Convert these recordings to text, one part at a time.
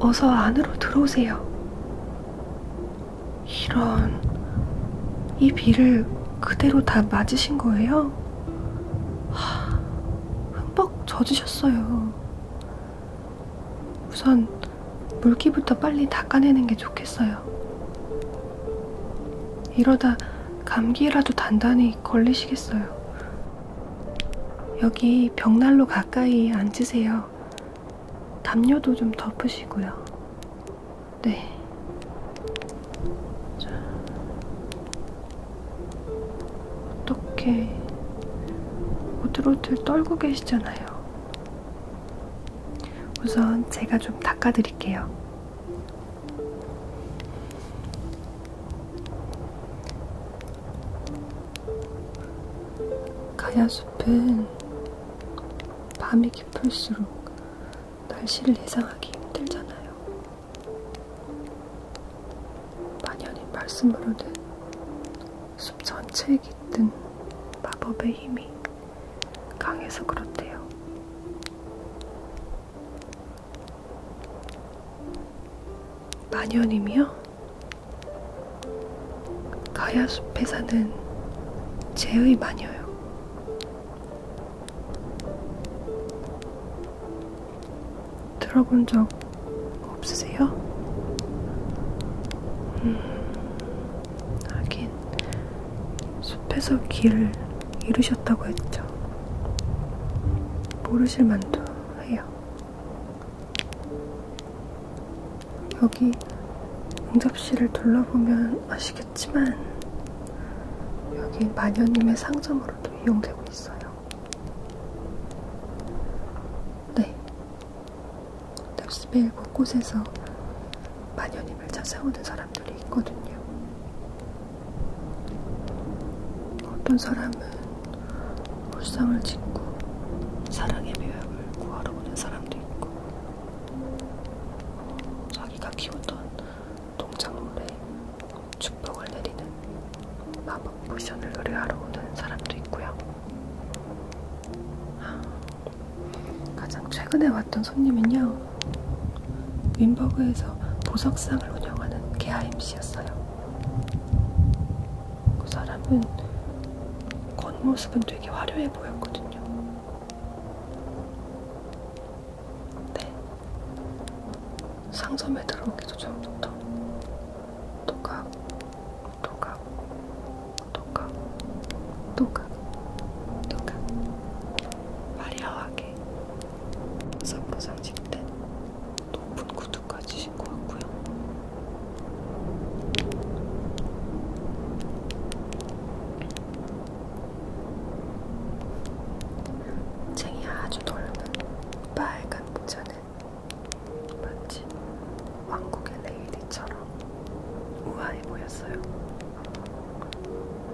어서 안으로 들어오세요. 이런, 이 비를 그대로 다 맞으신 거예요? 흠뻑 젖으셨어요. 우선 물기부터 빨리 닦아내는 게 좋겠어요. 이러다 감기라도 단단히 걸리시겠어요. 여기 벽난로 가까이 앉으세요. 담요도 좀 덮으시고요. 네. 자, 어떻게 오들오들 떨고 계시잖아요. 우선 제가 좀 닦아드릴게요. 가야숲은 밤이 깊을수록 날씨를 예상하기 힘들잖아요. 만연히 말씀으로는 숲 전체에 깃든 마법의 힘이 강해서 그렇대요. 만연님이요? 가야숲에 사는 제의 마녀요. 들어본 적 없으세요? 음, 하긴 숲에서 길을 잃으셨다고 했죠. 모르실 만도 해요. 여기 응접실을 둘러보면 아시겠지만 여기 마녀님의 상점으로 방법으로도 이용되고 있어요. 네. 납시벨 곳곳에서 마녀님을 찾아오는 사람들이 있거든요. 어떤 사람은 울상을 짓고 사랑의 묘약을 구하러 오는 사람도 있고 자기가 키우던 동작물에 축복을 내리는 마법 모션을 의뢰하러 오는 사람도 있고요. 아, 가장 최근에 왔던 손님은요, 윈버그에서 보석상을 운영하는 개아임씨였어요. 그 사람은 겉모습은 되게 화려해 보였거든요. 네. 상점에 들어오기도 전부터 도각, 도각, 도각, 도각, 도각 화려하게 선보상 직된 높은 구두까지 신고 왔고요. 쟁이 아주 넓은 빨간 모자는 마치 왕국의 레이디처럼 우아해 보였어요.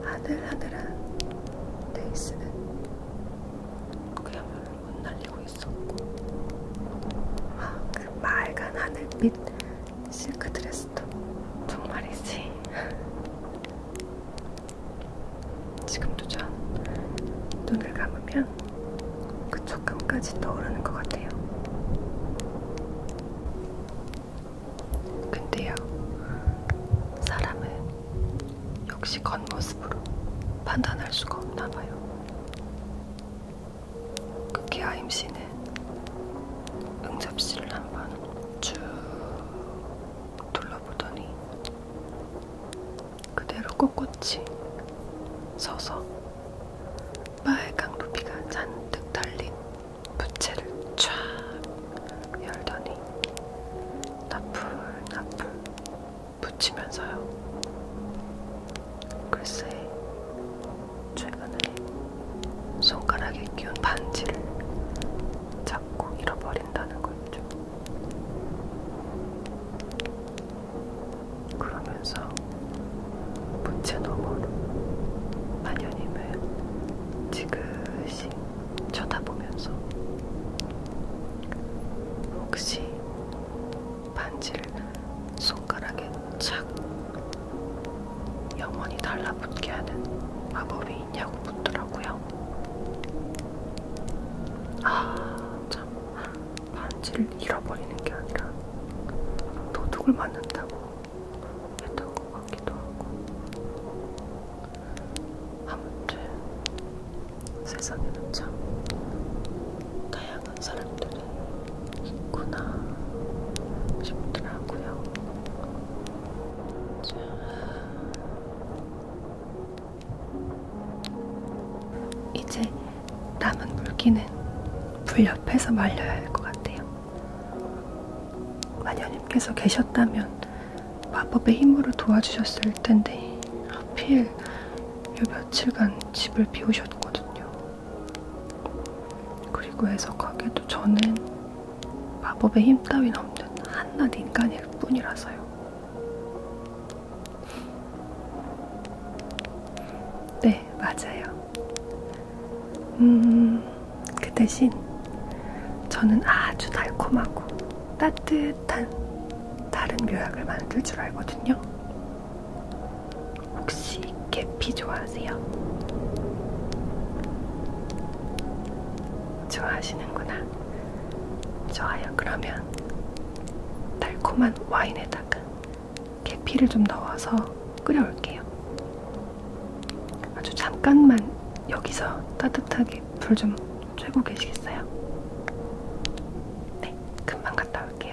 하늘하늘한 레이스는 그야말로 흩날리고 있었고 아, 그 맑은 하늘빛 실크 드레스도 정말이지 지금도 전 눈을 감으면 그 촉감까지 떠오르는 것 같아요. 근데요, 사람은 역시 겉모습으로 판단할 수가 없나 봐요. 그 개아임 씨는 응접실을 한번 쭉 둘러보더니 그대로 꼿꼿이 서서 빨강 루비가 잔뜩 달린 부채를 쫙 열더니 나풀나풀 붙이면서요. 글쎄, 최근에 손가락에 끼운 반지를 자꾸 잃어버린다는 거죠. 그러면서 부채 너머로 마녀님을 지그시 쳐다보면서 혹시 반지를 손가락에 착 영원히 달라붙게 하는 마법이 있냐고 묻더라고요. 아참 반지를 잃어버리는 게 아니라 도둑을 맞는다고 했던 것 같기도 하고 아무튼 세상에는 참 다양한 사람들이 있구나 싶더라고요. 자, 이제 남은 물기는 불 옆에서 말려야 할 것 같아요. 마녀님께서 계셨다면 마법의 힘으로 도와주셨을 텐데 하필 요 며칠간 집을 비우셨거든요. 그리고 해석하게도 저는 마법의 힘 따윈 없는 한낱 인간일 뿐이라서요. 네, 맞아요. 음, 그 대신 저는 아주 달콤하고 따뜻한 다른 묘약을 만들 줄 알거든요. 혹시 계피 좋아하세요? 좋아하시는구나. 좋아요. 그러면 달콤한 와인에다가 계피를 좀 넣어서 끓여올게요. 아주 잠깐만 여기서 따뜻하게 불 좀 쬐고 계시겠어요? 네, 금방 갔다 올게요.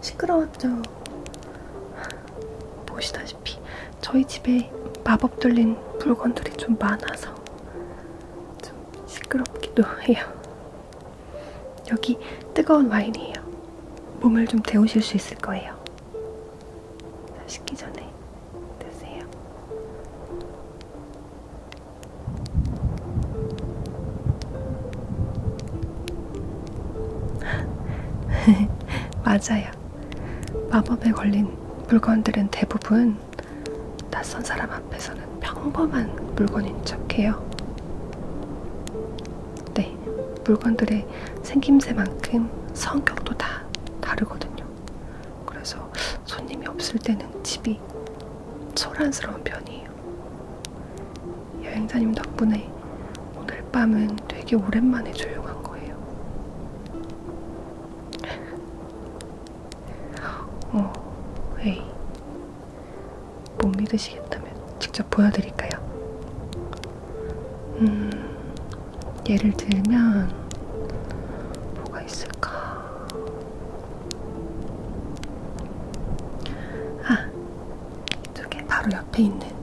시끄러웠죠. 보시다시피 저희 집에 마법 들린 물건들이 좀 많아서 좀 시끄럽기도 해요. 여기 뜨거운 와인이에요. 몸을 좀 데우실 수 있을 거예요. 식기 전에 드세요. 맞아요. 마법에 걸린 물건들은 대부분 낯선 사람 앞에서는 평범한 물건인 척해요. 네, 물건들의 생김새만큼 성격도 다 다르거든요. 그래서 손님이 없을 때는 집이 소란스러운 편이에요. 여행자님 덕분에 오늘 밤은 되게 오랜만에 조용한 거예요. 어, 에이. 못 믿으시겠다면 직접 보여드릴까요? 음, 예를 들면, 뭐가 있을까? 아, 이쪽에 바로 옆에 있는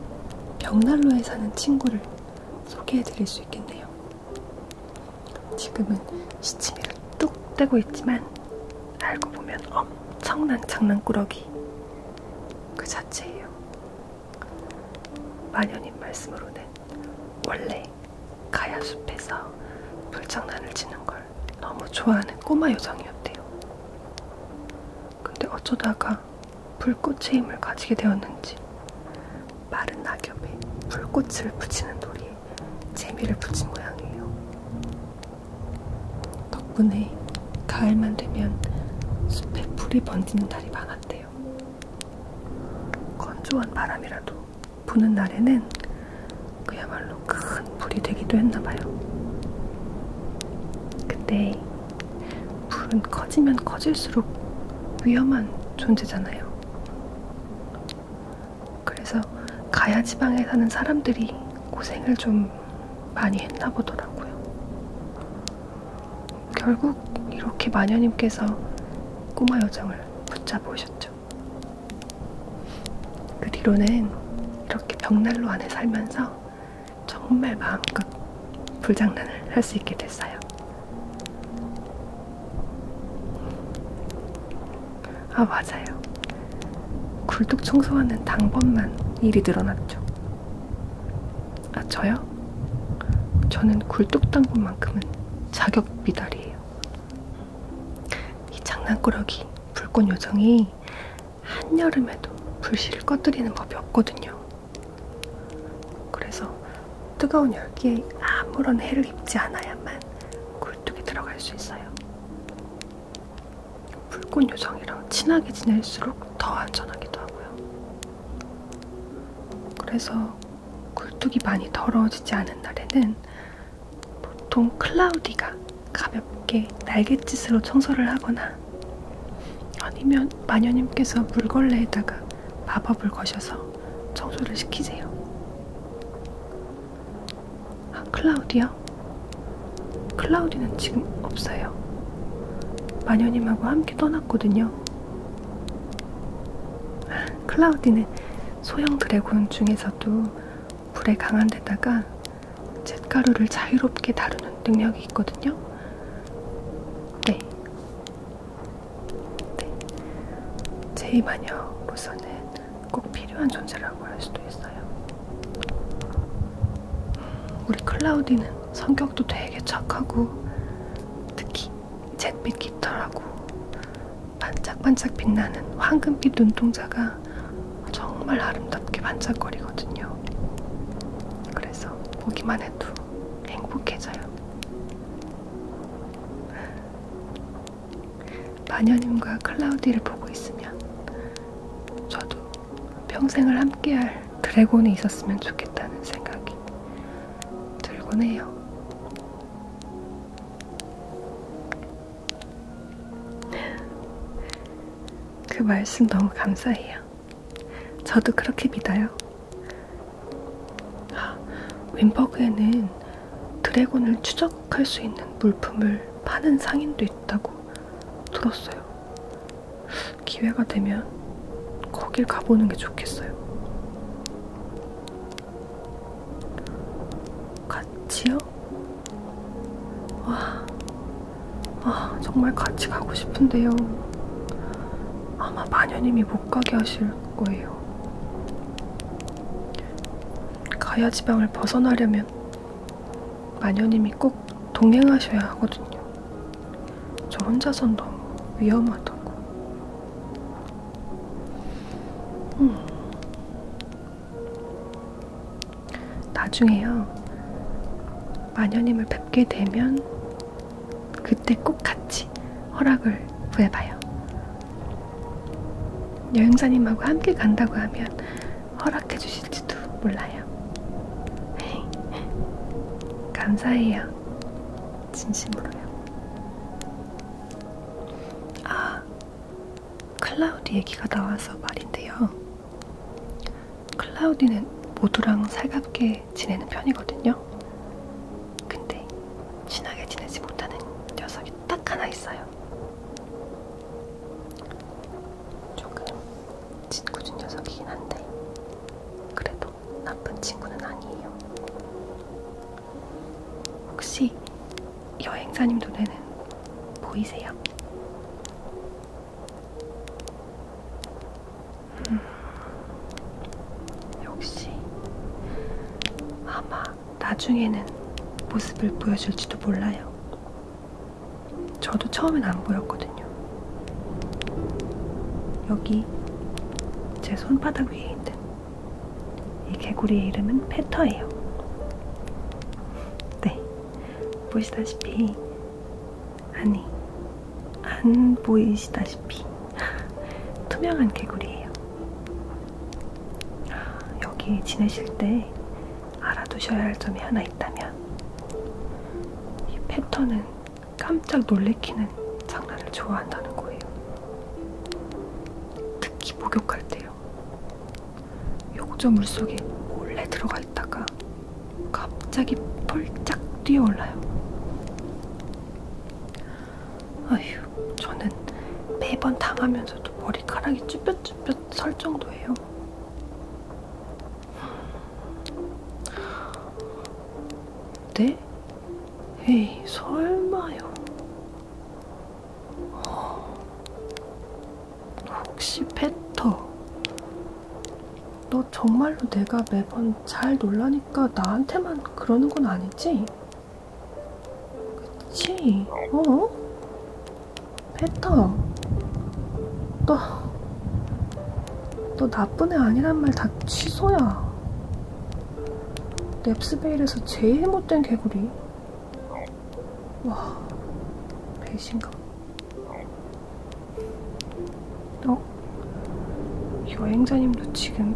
벽난로에 사는 친구를 소개해드릴 수 있겠네요. 지금은 시치미를 뚝 떼고 있지만 알고 보면 엄청난 장난꾸러기 그 자체예요. 마녀님 말씀으로는 원래 가야숲에서 불장난을 치는 걸 너무 좋아하는 꼬마 요정이었대요. 근데 어쩌다가 불꽃의 힘을 가지게 되었는지 마른 낙엽에 불꽃을 붙이는 놀이에 재미를 붙인 모양이에요. 덕분에 가을만 되면 숲에 불이 번지는 날이 많았대요. 건조한 바람이라도 부는 날에는 그야말로 큰 불이 되기도 했나봐요. 그때 불은 커지면 커질수록 위험한 존재잖아요. 그래서 가야 지방에 사는 사람들이 고생을 좀 많이 했나 보더라고요. 결국 이렇게 마녀님께서 꼬마 여정을 붙잡으셨죠. 그 뒤로는 이렇게 벽난로 안에 살면서 정말 마음껏 불장난을 할 수 있게 됐어요. 아 맞아요. 굴뚝 청소하는 당번만 일이 늘어났죠. 아 저요? 저는 굴뚝 당번만큼은 자격 미달이에요. 이 장난꾸러기 불꽃 요정이 한여름에도 불씨를 꺼뜨리는 법이 없거든요. 그래서 뜨거운 열기에 아무런 해를 입지 않아야만 굴뚝에 들어갈 수 있어요. 불꽃 요정이랑 친하게 지낼수록 더 안전하기도 하고요. 그래서 굴뚝이 많이 더러워지지 않은 날에는 보통 클라우디가 가볍게 날갯짓으로 청소를 하거나 아니면 마녀님께서 물걸레에다가 마법을 거셔서 청소를 시키세요. 아, 클라우디요? 클라우디는 지금 없어요. 마녀님하고 함께 떠났거든요. 클라우디는 소형 드래곤 중에서도 불에 강한 데다가 챗가루를 자유롭게 다루는 능력이 있거든요. 네. 네. 제2마녀로서는 꼭 필요한 존재라고 할 수도 있어요. 음, 우리 클라우디는 성격도 되게 착하고 특히 잿빛 깃털하고 반짝반짝 빛나는 황금빛 눈동자가 정말 아름답게 반짝거리거든요. 있어요. 그래서 보기만 해도 행복해져요. 마녀님과 클라우디를 보고 있으면 저도 평생을 함께할 드래곤이 있었으면 좋겠다는 생각이 들곤 해요. 그 말씀 너무 감사해요. 저도 그렇게 믿어요. 아, 윈버그에는 드래곤을 추적할 수 있는 물품을 파는 상인도 있다고 들었어요. 기회가 되면 거길 가보는 게 좋겠어요. 같이요? 와, 아, 정말 같이 가고 싶은데요. 아마 마녀님이 못 가게 하실 거예요. 가야 지방을 벗어나려면 마녀님이 꼭 동행하셔야 하거든요. 저 혼자선 너무 위험하다고. 음. 나중에요. 마녀님을 뵙게 되면 그때 꼭 같이 허락을 구해봐요. 여행사님하고 함께 간다고 하면 허락해 주실지도 몰라요. 감사해요. 진심으로요. 아, 클라우드 얘기가 나와서 말인데요. 클라우디는 모두랑 살갑게 지내는 편이거든요. 근데 친하게 지내지 못하는 녀석이 딱 하나 있어요. 조금 짓궂은 녀석이긴 한데 그래도 나쁜 친구는 아니에요. 혹시 여행사님 눈에는 보이세요? 음, 역시 아마 나중에는 모습을 보여줄지도 몰라요. 저도 처음엔 안 보였거든요. 여기 제 손바닥 위에 있는 이 개구리의 이름은 페터예요. 네, 보시다시피 아니, 안 보이시다시피 투명한 개구리예요. 여기 지내실 때 알아두셔야 할 점이 하나 있다면 이 패턴은 깜짝 놀래키는 장난을 좋아한다는 거예요. 특히 목욕할 때요. 욕조 물속에 몰래 들어가 있다가 갑자기 폴짝 뛰어올라요. 아휴, 저는 매번 당하면서도 머리카락이 쭈뼛쭈뼛 설 정도예요. 네? 에이, 설마요. 어, 혹시 패터 너 정말로 내가 매번 잘 놀라니까 나한테만 그러는 건 아니지? 그치? 어? 페터, 너, 너 나쁜 애 아니란 말 다 취소야. 넵스베일에서 제일 못된 개구리. 와, 배신감. 어? 여행자님도 지금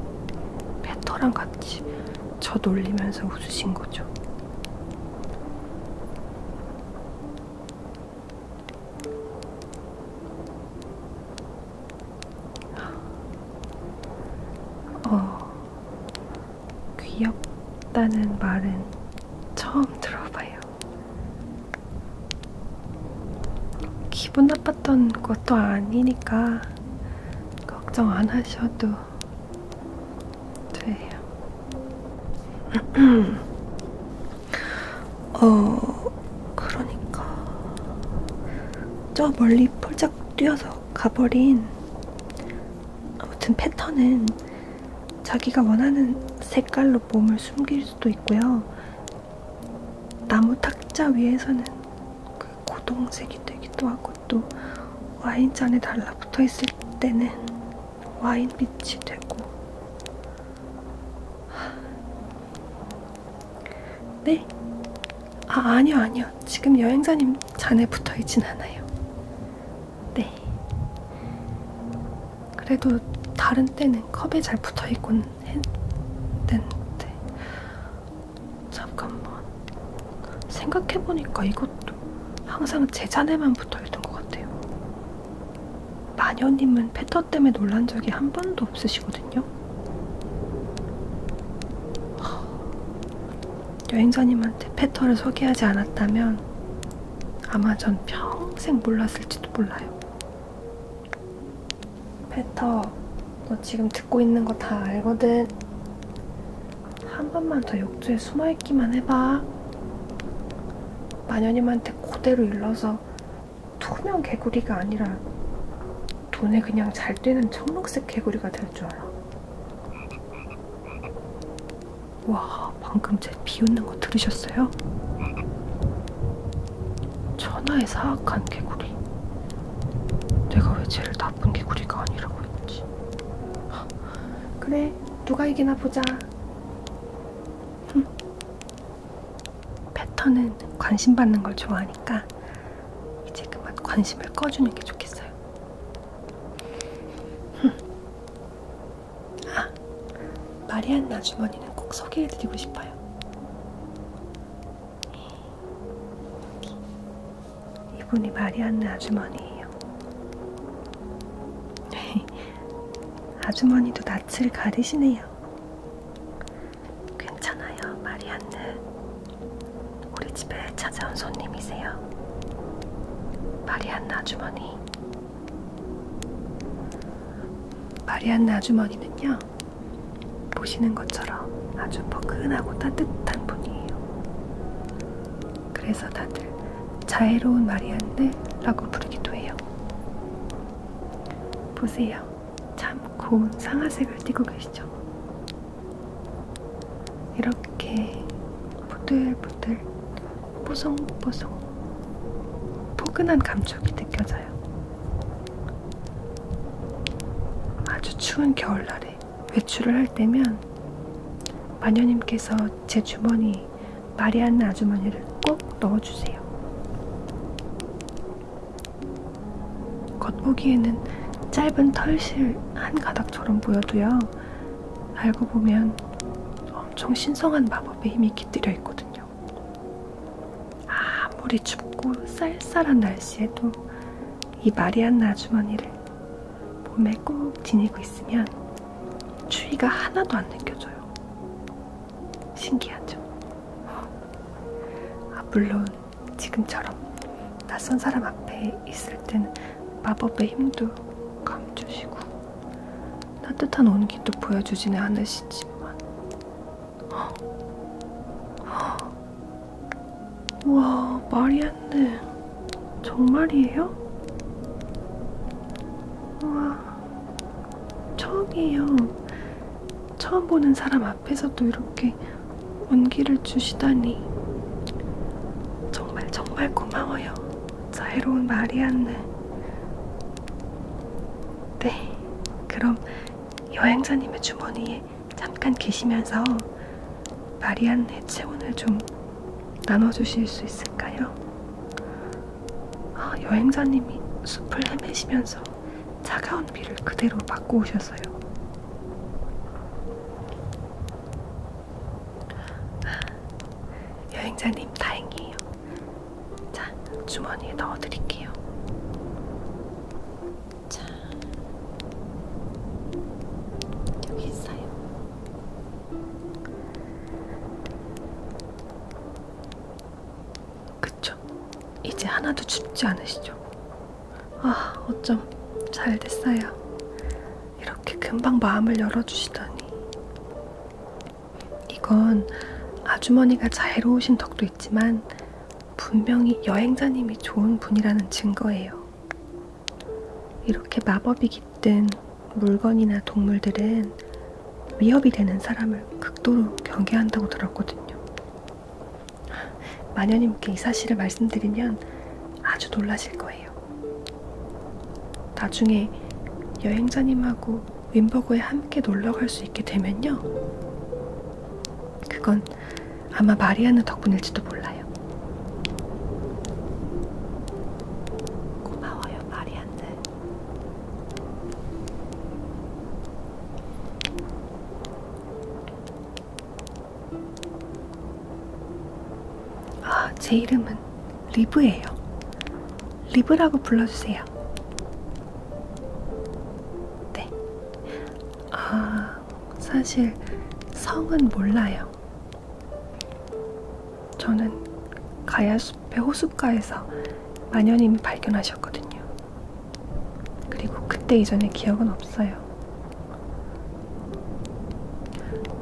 패터랑 같이 저 놀리면서 웃으신 거죠? 어, 귀엽다는 말은 처음 들어봐요. 기분 나빴던 것도 아니니까 걱정 안 하셔도 돼요. 어, 그러니까 저 멀리 폴짝 뛰어서 가버린 아무튼 패턴은 자기가 원하는 색깔로 몸을 숨길 수도 있고요. 나무 탁자 위에서는 그 고동색이 되기도 하고 또 와인잔에 달라붙어 있을 때는 와인빛이 되고 네? 아 아니요 아니요 지금 여행자님 잔에 붙어있진 않아요 네 그래도 다른 때는 컵에 잘 붙어 있곤 했는데 잠깐만 생각해 보니까 이것도 항상 제 잔에만 붙어 있던 것 같아요. 마녀님은 패터 때문에 놀란 적이 한 번도 없으시거든요. 여행자님한테 패터를 소개하지 않았다면 아마 전 평생 몰랐을지도 몰라요. 페터, 너 지금 듣고 있는 거 다 알거든. 한 번만 더 욕조에 숨어 있기만 해봐. 마녀님한테 그대로 일러서 투명 개구리가 아니라 돈에 그냥 잘 뛰는 청록색 개구리가 될 줄 알아. 와, 방금 제 비웃는 거 들으셨어요? 천하의 사악한 개구리. 내가 왜 제일 나쁜 개구리가 아니라고 했지? 그래, 누가 이기나 보자. 흠. 패턴은 관심 받는 걸 좋아하니까 이제 그만 관심을 꺼주는 게 좋겠어요. 흠. 아, 마리안나 주머니는 꼭 소개해드리고 싶어요. 이분이 마리안나 아주머니예요. 아주머니도 낯을 가리시네요. 괜찮아요, 마리안느. 우리 집에 찾아온 손님이세요. 마리안나 아주머니 마리안나 아주머니는요, 보시는 것처럼 아주 포근하고 따뜻한 분이에요. 그래서 다들 자애로운 마리안네라고 부르기도 해요. 보세요. 참 고운 상아색을 띠고 계시죠? 이렇게 부들부들 뽀송뽀송 포근한 감촉이 느껴져요. 있어요. 아주 추운 겨울날에 외출을 할 때면 마녀님께서 제 주머니 마리안나 아주머니를 꼭 넣어주세요. 겉보기에는 짧은 털실 한 가닥처럼 보여도요. 알고 보면 엄청 신성한 마법의 힘이 깃들여 있거든요. 있어요. 아, 아무리 춥고 쌀쌀한 날씨에도 이 마리안나 아주머니를 몸에 꼭 지니고 있으면 추위가 하나도 안 느껴져요. 신기하죠? 아, 물론 지금처럼 낯선 사람 앞에 있을 때는 마법의 힘도 감추시고 따뜻한 온기도 보여주지는 않으시지만 와 말이 안 돼. 정말이에요? 와 처음이에요. 처음 보는 사람 앞에서도 이렇게 온기를 주시다니 정말 정말 고마워요. 자애로운 마리안느 네, 그럼 여행사님의 주머니에 잠깐 계시면서 마리안의 체온을 좀 나눠주실 수 있을까요? 아, 여행사님이 숲을 헤매시면서 차가운 비를 그대로 맞고 오셔서요. 아, 여행자님 다행이에요. 자, 주머니에 넣어드릴게요. 자, 여기 있어요. 그쵸? 이제 하나도 춥지 않으시죠? 아, 어쩜 잘 됐어요. 이렇게 금방 마음을 열어주시다니. 이건 아주머니가 자애로우신 덕도 있지만 분명히 여행자님이 좋은 분이라는 증거예요. 이렇게 마법이 깃든 물건이나 동물들은 위협이 되는 사람을 극도로 경계한다고 들었거든요. 마녀님께 이 사실을 말씀드리면 아주 놀라실 거예요. 나중에 여행자님하고 윈버그에 함께 놀러 갈 수 있게 되면요. 그건 아마 마리아는 덕분일지도 몰라요. 고마워요, 마리아는. 아, 제 이름은 리브예요. 리브라고 불러주세요. 네. 아, 사실 성은 몰라요. 저는 가야숲의 호숫가에서 마녀님이 발견하셨거든요. 그리고 그때 이전의 기억은 없어요.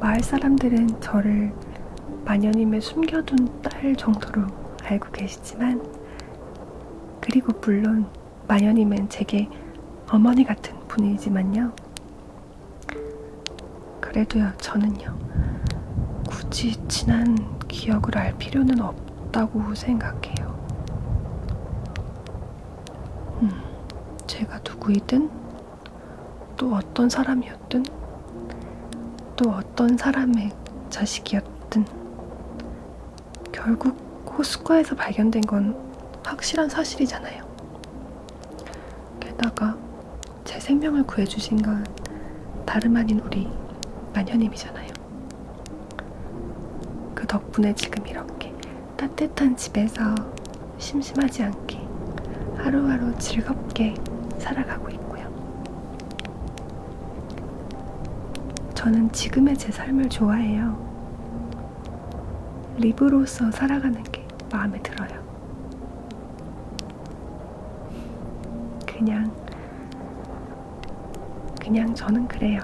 마을 사람들은 저를 마녀님의 숨겨둔 딸 정도로 알고 계시 계시지만, 그리고 물론 마녀님은 제게 어머니 같은 분이지만요. 그래도요, 저는요, 굳이 친한 기억을 알 필요는 없다고 생각해요. 음, 제가 누구이든, 또 어떤 사람이었든, 또 어떤 사람의 자식이었든 결국 호숫가에서 발견된 건 확실한 사실이잖아요. 게다가 제 생명을 구해주신 건 다름 아닌 우리 마녀님이잖아요. 그 덕분에 지금 이렇게 따뜻한 집에서 심심하지 않게 하루하루 즐겁게 살아가고 있고요. 저는 지금의 제 삶을 좋아해요. 리브로서 살아가는 게 마음에 들어요. 그냥, 그냥 저는 그래요.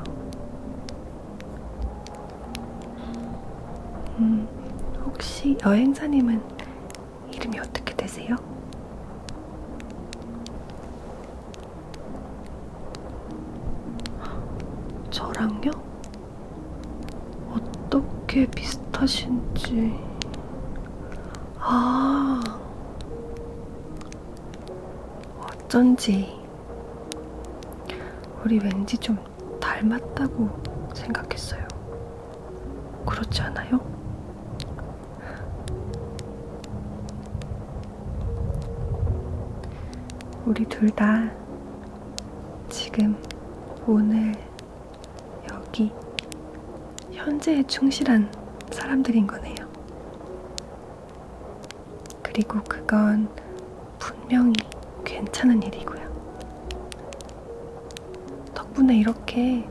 음, 혹시 여행사님은 이름이 어떻게 되세요? 저랑요? 어떻게 비슷하신지. 아, 어쩐지. 우리 왠지 좀 닮았다고 생각했어요. 그렇지 않아요? 우리 둘 다 지금 오늘 여기 현재에 충실한 사람들인 거네요. 그리고 그건 분명히 괜찮은 일이고요. 덕분에 이렇게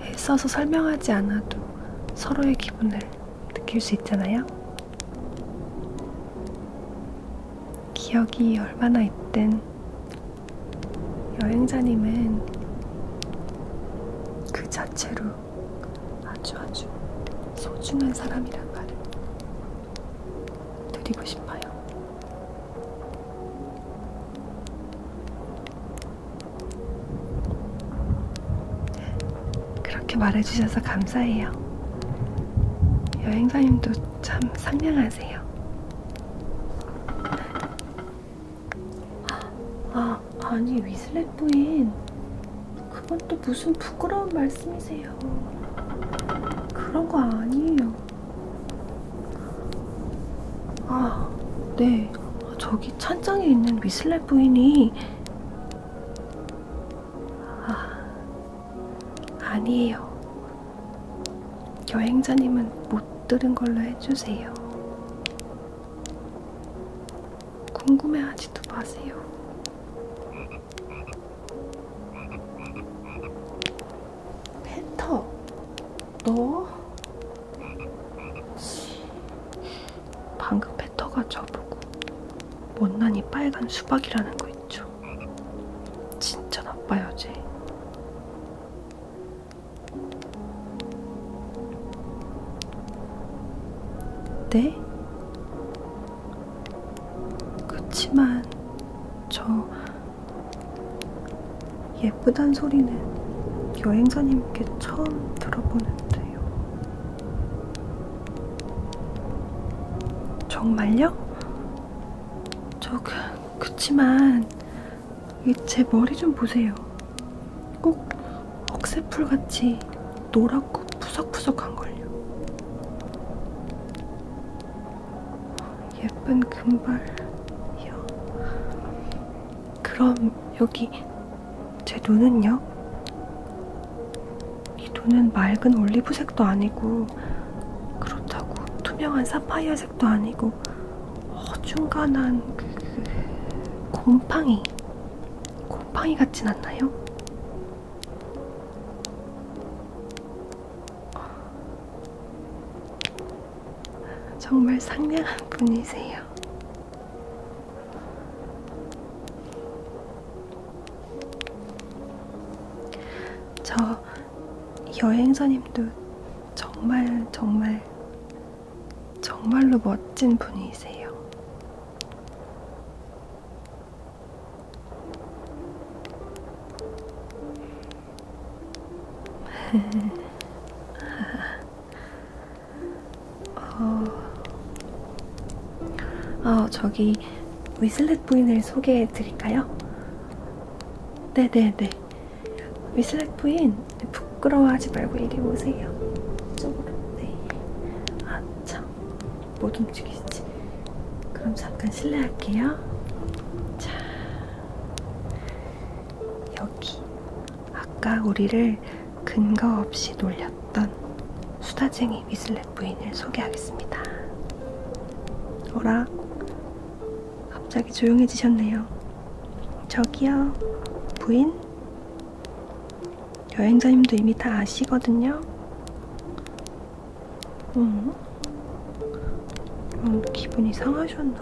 애써서 설명하지 않아도 서로의 기분을 느낄 수 있잖아요. 기억이 얼마나 있든 여행자님은 그 자체로 아주 아주 소중한 사람이란 말을 드리고 싶어요. 그렇게 말해주셔서 감사해요. 여행사님도 참 상냥하세요. 아, 아니 위슬렛 부인. 그건 또 무슨 부끄러운 말씀이세요. 그런 거 아니에요. 아, 네. 저기 찬장에 있는 미슬레 부인이 아, 아니에요. 여행자님은 못 들은 걸로 해주세요. 궁금해하지도 마세요. 패터, 너? 방금 뱉어가 저보고 못난이 빨간 수박이라는 거 있죠. 진짜 나빠야지. 네? 그치만 저 예쁘단 소리는 여행사님께 처음 들어보는데 거예요. 정말요? 저 그, 그치만 제 머리 좀 보세요. 꼭 억새풀같이 노랗고 푸석푸석한걸요. 예쁜 금발이요. 그럼 여기 제 눈은요? 이 눈은 맑은 올리브색도 아니고 그렇다고 투명한 사파이어 색도 아니고 어중간한 그, 그 곰팡이 곰팡이 같진 않나요? 정말 상냥한 분이세요. 저 여행사님도 정말 정말 정말로 멋진 분이세요. 어... 아, 저기 위슬렛 부인을 소개해 드릴까요? 네네네. 네. 위슬렛 부인, 부끄러워하지 말고 얘기 보세요. 이쪽으로. 네. 아, 참. 못 뭐 움직이시지. 그럼 잠깐 실례할게요. 자, 여기. 아까 우리를 근거 없이 놀렸던 수다쟁이 미슬렛 부인을 소개하겠습니다. 어라? 갑자기 조용해지셨네요. 저기요, 부인? 여행자님도 이미 다 아시거든요? 음, 음 기분이 상하셨나?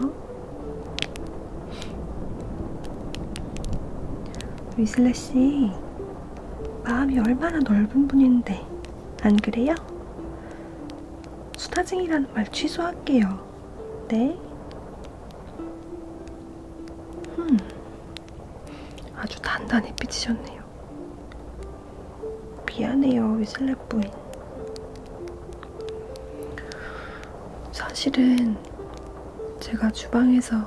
위슬래씨 마음이 얼마나 넓은 분인데 안 그래요? 수다쟁이라는 말 취소할게요. 네? 음, 아주 단단히 삐지셨네요. 미안해요, 위슬래 부인. 사실은 제가 주방에서 있어요.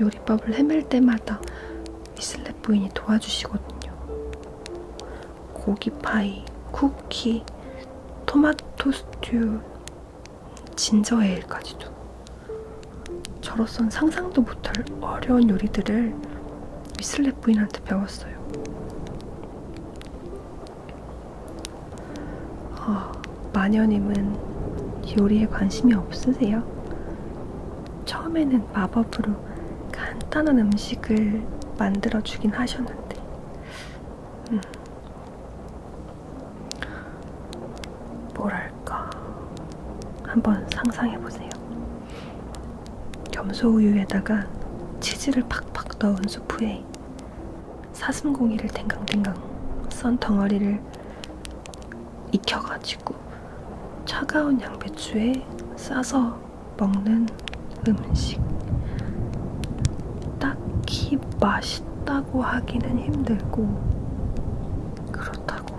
요리법을 헤맬 때마다 미슬렛 부인이 도와주시거든요. 고기파이, 쿠키, 토마토 스튜, 진저 에일까지도. 저로선 상상도 못할 어려운 요리들을 미슬렛 부인한테 배웠어요. 어, 마녀님은 요리에 관심이 없으세요? 처음에는 마법으로 간단한 음식을 만들어 주긴 하셨는데, 음. 뭐랄까, 한번 상상해 보세요. 염소우유에다가 치즈를 팍팍 넣은 수프에 사슴고기를 댕강댕강 썬 덩어리를 익혀가지고 차가운 양배추에 싸서 먹는 음식. 딱히 맛있다고 하기는 힘들고, 그렇다고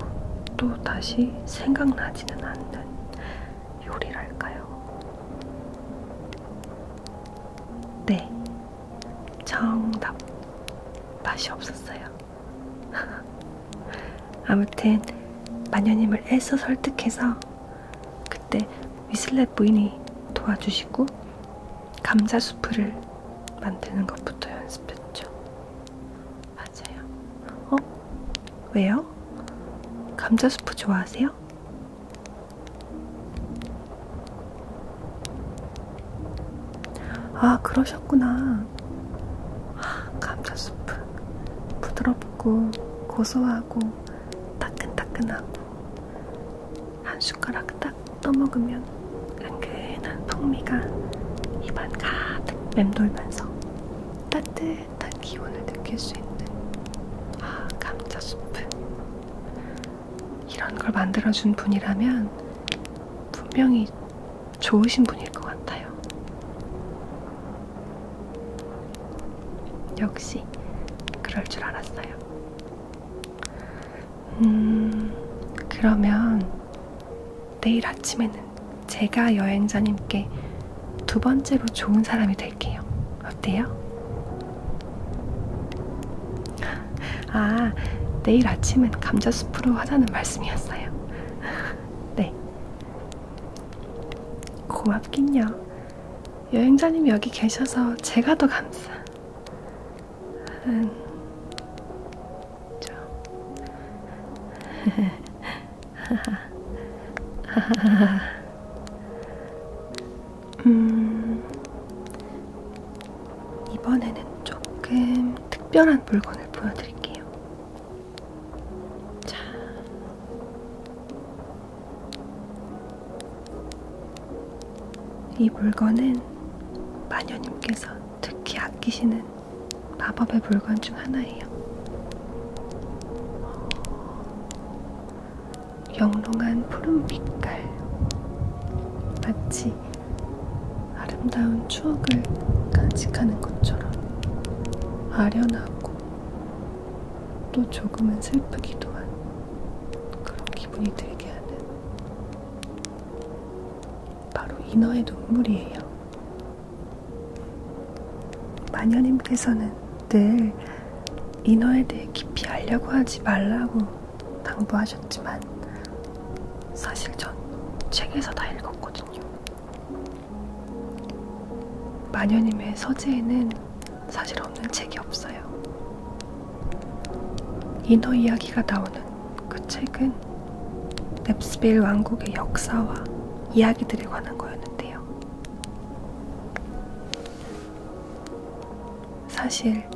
또 다시 생각나지는 않는 요리랄까요. 네, 정답 맛이 없었어요. 아무튼 마녀님을 애써 설득해서 그때 위슬렛 부인이 도와주시고 감자 수프를 만드는 것부터 연습했죠. 맞아요. 어? 왜요? 감자 수프 좋아하세요? 아, 그러셨구나. 아, 감자 수프. 부드럽고, 고소하고, 따끈따끈하고, 한 숟가락 딱 떠먹으면 은근한 풍미가 입안 가득 맴돌면서 따뜻한 기운을 느낄 수 있는 아, 감자 수프. 이런 걸 만들어준 분이라면 분명히 좋으신 분일 것 같아요. 역시 그럴 줄 알았어요. 음, 그러면 내일 아침에는 제가 여행자님께 두 번째로 좋은 사람이 될게요. 어때요? 아, 내일 아침은 감자숲으로 하자는 말씀이었어요. 네. 고맙긴요. 여행자님 여기 계셔서 제가 더 감사. 음. 저. 음. 이번에는 조금 특별한 물건을 보여드릴게요. 자, 이 물건은 마녀님께서 특히 아끼시는 마법의 물건 중 하나예요. 영롱한 푸른 빛깔, 마치 아름다운 추억을 간직하는 것처럼 아련하고 또 조금은 슬프기도 한 그런 기분이 들게 하는 바로 인어의 눈물이에요. 마녀님께서는 늘 인어에 대해 깊이 알려고 하지 말라고 당부하셨지만 사실 전 책에서 다 읽었거든요. 마녀님의 서재에는 사실 없는 책이 없어요. 인어 이야기가 나오는 그 책은 넵스빌 왕국의 역사와 이야기들에 관한 거였는데요. 사실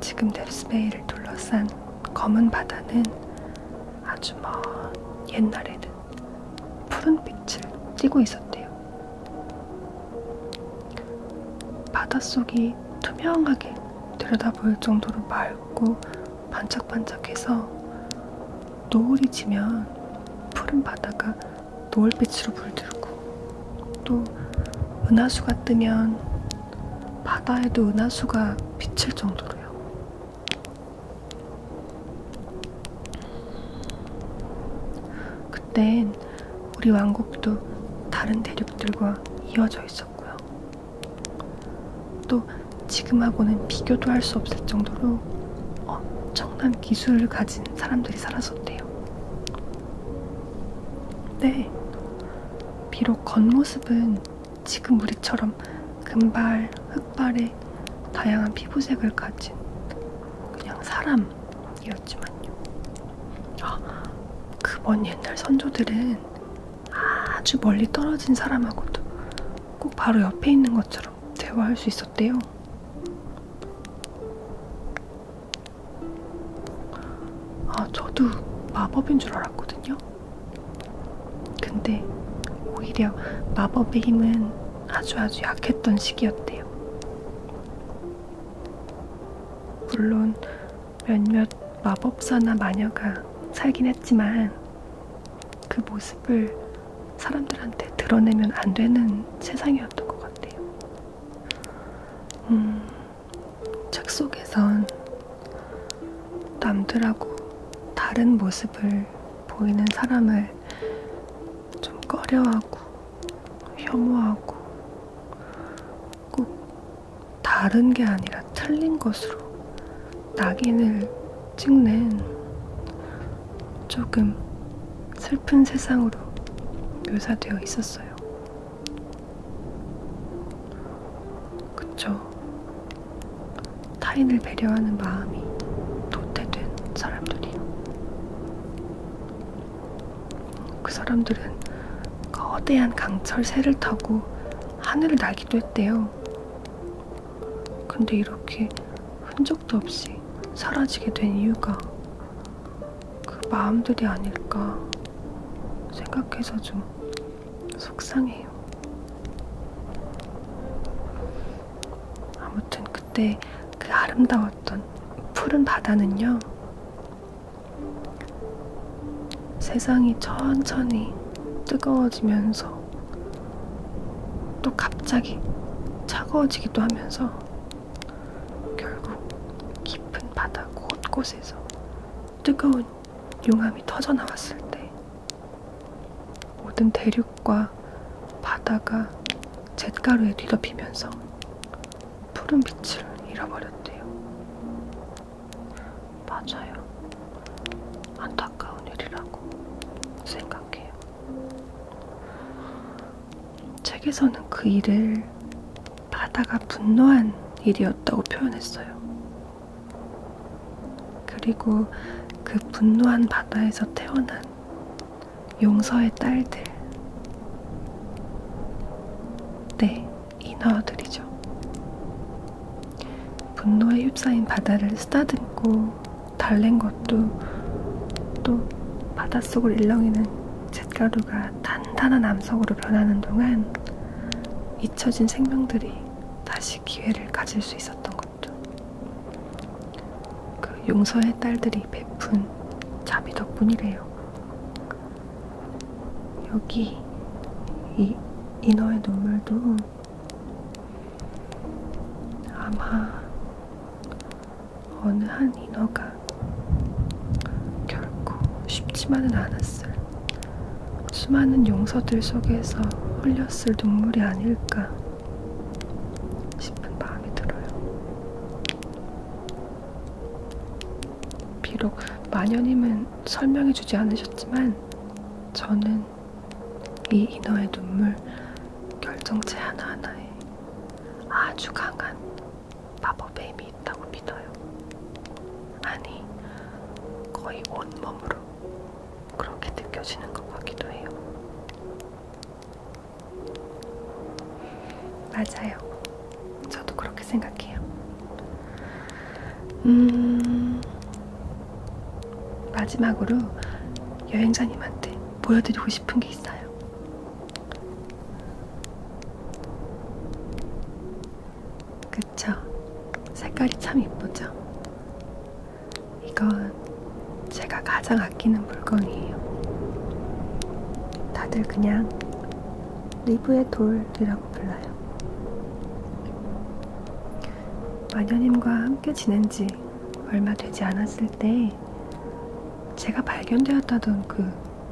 지금 델스베이를 둘러싼 검은 바다는 아주 먼 옛날에는 푸른빛을 띠고 있었대요. 바닷속이 투명하게 들여다볼 정도로 맑고 반짝반짝해서 노을이 지면 푸른 바다가 노을빛으로 물들고 또 은하수가 뜨면 바다에도 은하수가 비칠 정도로요. 그땐 우리 왕국도 다른 대륙들과 이어져 있었고요. 또 지금하고는 비교도 할 수 없을 정도로 엄청난 기술을 가진 사람들이 살았었대요. 네, 비록 겉모습은 지금 우리처럼 금발, 흑발의 다양한 피부색을 가진 그냥 사람이었지만요. 아, 그먼 옛날 선조들은 아주 멀리 떨어진 사람하고도 꼭 바로 옆에 있는 것처럼 대화할 수 있었대요. 아, 저도 마법인 줄 알았거든요. 근데 오히려 마법의 힘은 아주 아주 약했던 시기였대요. 물론 몇몇 마법사나 마녀가 살긴 했지만 그 모습을 사람들한테 드러내면 안 되는 세상이었던 것 같아요. 음, 책 속에선 남들하고 다른 모습을 보이는 사람을 좀 꺼려하고 혐오하고 꼭 다른 게 아니라 틀린 것으로 낙인을 찍는 조금 슬픈 세상으로 묘사되어 있었어요. 그쵸. 타인을 배려하는 마음이 도태된 사람들이요. 그 사람들은 거대한 그 강철 새를 타고 하늘을 날기도 했대요. 근데 이렇게 흔적도 없이 사라지게 된 이유가 그 마음들이 아닐까 생각해서 좀 속상해요. 아무튼 그때 그 아름다웠던 푸른 바다는요. 세상이 천천히 뜨거워지면서 또 갑자기 차가워지기도 하면서 결국 깊은 바다 곳곳에서 뜨거운 용암이 터져 나왔을 때 모든 대륙과 바다가 잿가루에 뒤덮이면서 푸른 빛을 잃어버렸대요. 맞아요. 안타까운 일이라고 생각해요. 책에서는 그 일을 바다가 분노한 일이었다고 표현했어요. 그리고 그 분노한 바다에서 태어난 용서의 딸들. 네, 인어들이죠. 분노에 휩싸인 바다를 쓰다듬고 달랜 것도 또 바닷속을 일렁이는 잿가루가 단단한 암석으로 변하는 동안 이 잊혀진 생명들이 다시 기회를 가질 수 있었던 것도 그 용서의 딸들이 베푼 자비 덕분이래요. 여기 이 인어의 눈물도 아마 어느 한 인어가 결코 쉽지만은 않았을 수많은 용서들 속에서 흘렸을 눈물이 아닐까 싶은 마음이 들어요. 비록 마녀님은 설명해주지 않으셨지만 저는 이 인어의 눈물 결정체 하나하나에 아주 강한 마법의 힘이 있다고 믿어요. 아니, 거의 온몸으로 그렇게 느껴지는 것 같기도 해요. 맞아요. 저도 그렇게 생각해요. 음, 마지막으로 여행자님한테 보여드리고 싶은 게 있어요. 그쵸? 색깔이 참 이쁘죠? 이건 제가 가장 아끼는 물건이에요. 다들 그냥 리브의 돌이라고 불러요. 마녀님과 함께 지낸 지 얼마 되지 않았을 때 제가 발견되었다던 그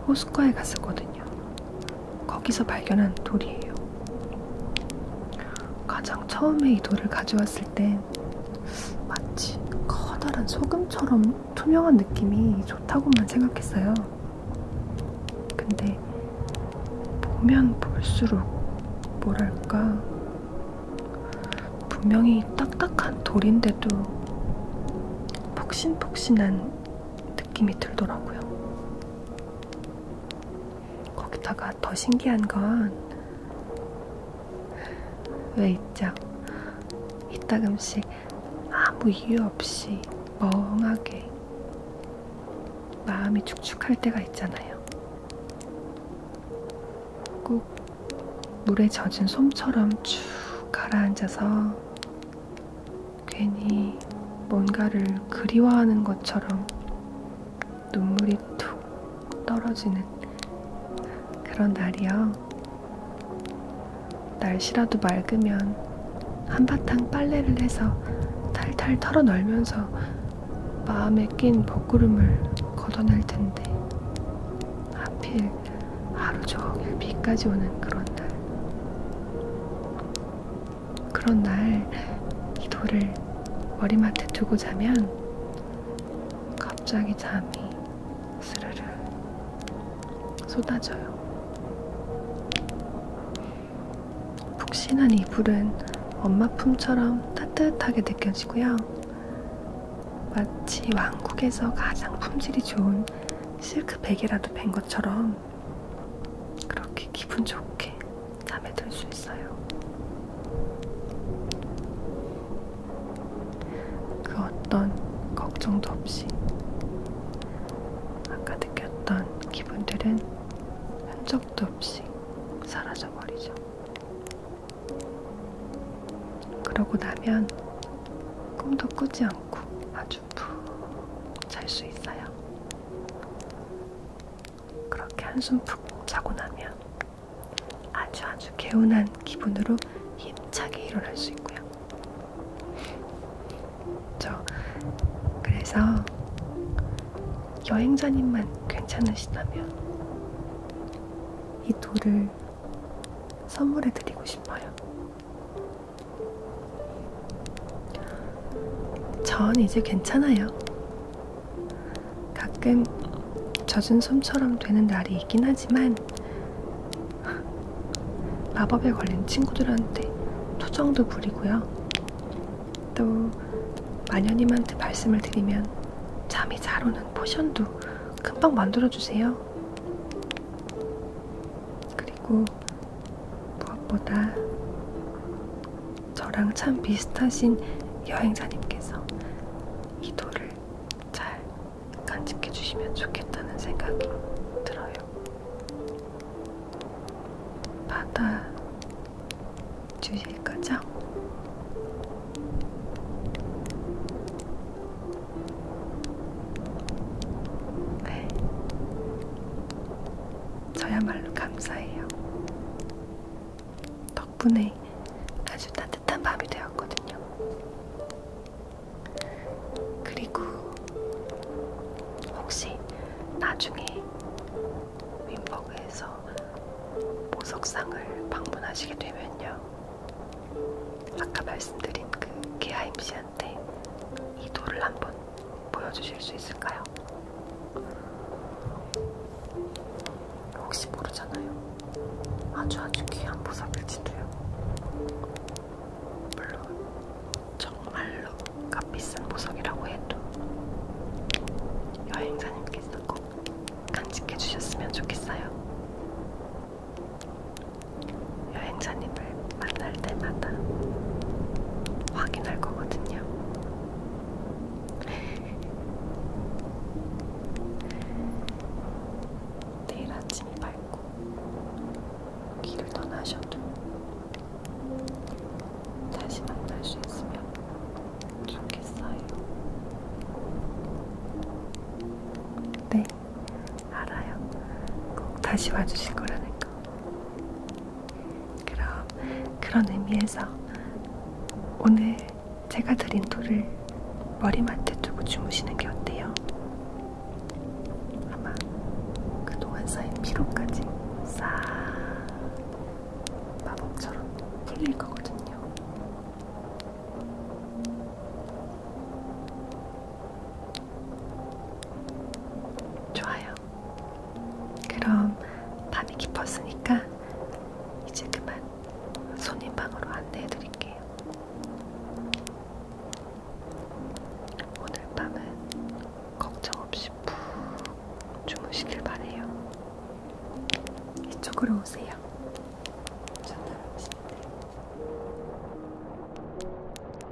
호숫가에 갔었거든요. 거기서 발견한 돌이에요. 가장 처음에 이 돌을 가져왔을 때 마치 커다란 소금처럼 투명한 느낌이 좋다고만 생각했어요. 근데 보면 볼수록 뭐랄까 분명히 딱딱한 돌인데도 폭신폭신한 느낌이 들더라고요. 거기다가 더 신기한 건 왜 있죠? 이따금씩 아무 이유 없이 멍하게 마음이 축축할 때가 있잖아요. 꼭 물에 젖은 솜처럼 쭉 가라앉아서 괜히 뭔가를 그리워하는 것처럼 눈물이 툭 떨어지는 그런 날이요. 날씨라도 맑으면 한바탕 빨래를 해서 탈탈 털어널면서 마음에 낀 먹구름을 걷어낼 텐데 하필 하루 종일 비까지 오는 그런 날 그런 날이 돌을 머리맡에 두고 자면 갑자기 잠이 스르르 쏟아져요. 푹신한 이불은 엄마 품처럼 따뜻하게 느껴지고요. 마치 왕국에서 가장 품질이 좋은 실크 베개라도 뵌 것처럼 그렇게 기분 좋게 잠에 들 수 있어요. 그 어떤 걱정도 없이 아까 느꼈던 기분들은 흔적도 없이 사라져버리죠. 그러고 나면 꿈도 꾸지 않고 아주 아주 푹잘 수 있어요. 그렇게 한숨 푹 자고 나면 아주 아주 개운한 기분으로 힘차게 일어날 수 있고요. 저 그래서 여행자님만 괜찮으시다면 이 돌을 선물해 드리고 싶어요. 전 이제 괜찮아요. 가끔 젖은 솜처럼 되는 날이 있긴 하지만 마법에 걸린 친구들한테 투정도 부리고요. 또 마녀님한테 말씀을 드리면 잠이 잘 오는 포션도 금방 만들어주세요. 그리고 무엇보다 저랑 참 비슷하신 여행자님께서 이 돌을 잘 간직해 주시면 좋겠다는 생각이 들어요. 받아 주실 거죠? 네. 저야말로 감사해요. 덕분에 아주 따뜻한 밤이 되었거든요. 그리고 혹시 나중에 윈버그에서 보석상을 방문하시게 되면요. 아까 말씀드린 그 게하임 씨한테 이 돌을 한번 보여주실 수 있을까요? 혹시 모르잖아요. 아주 아주 귀한 보석일지도요. 물론 정말로 값비싼 보석이라고 해도 여행사님께서 꼭 간직해 주셨으면 좋겠어요. 여행사님을 만날 때마다 확인할 거거든요. 내일 아침이 밝고 길을 떠나셔도 다시 만날 수 있으면 좋겠어요. 네, 알아요. 꼭 다시 와주실 거라니까. 그럼 그런 의미에서 오늘 제가 드린 돌을 머리맡에 두고 주무시는 게 어때요? 아마 그동안 쌓인 피로까지 싹 마법처럼 풀릴 거거든요. 좋아요. 그럼 밤이 깊었으니까 이제 그만 손님 방으로 안내해 드릴게요. 오늘 밤은 걱정 없이 푹 주무시길 바래요. 이쪽으로 오세요. 전달 오시는데.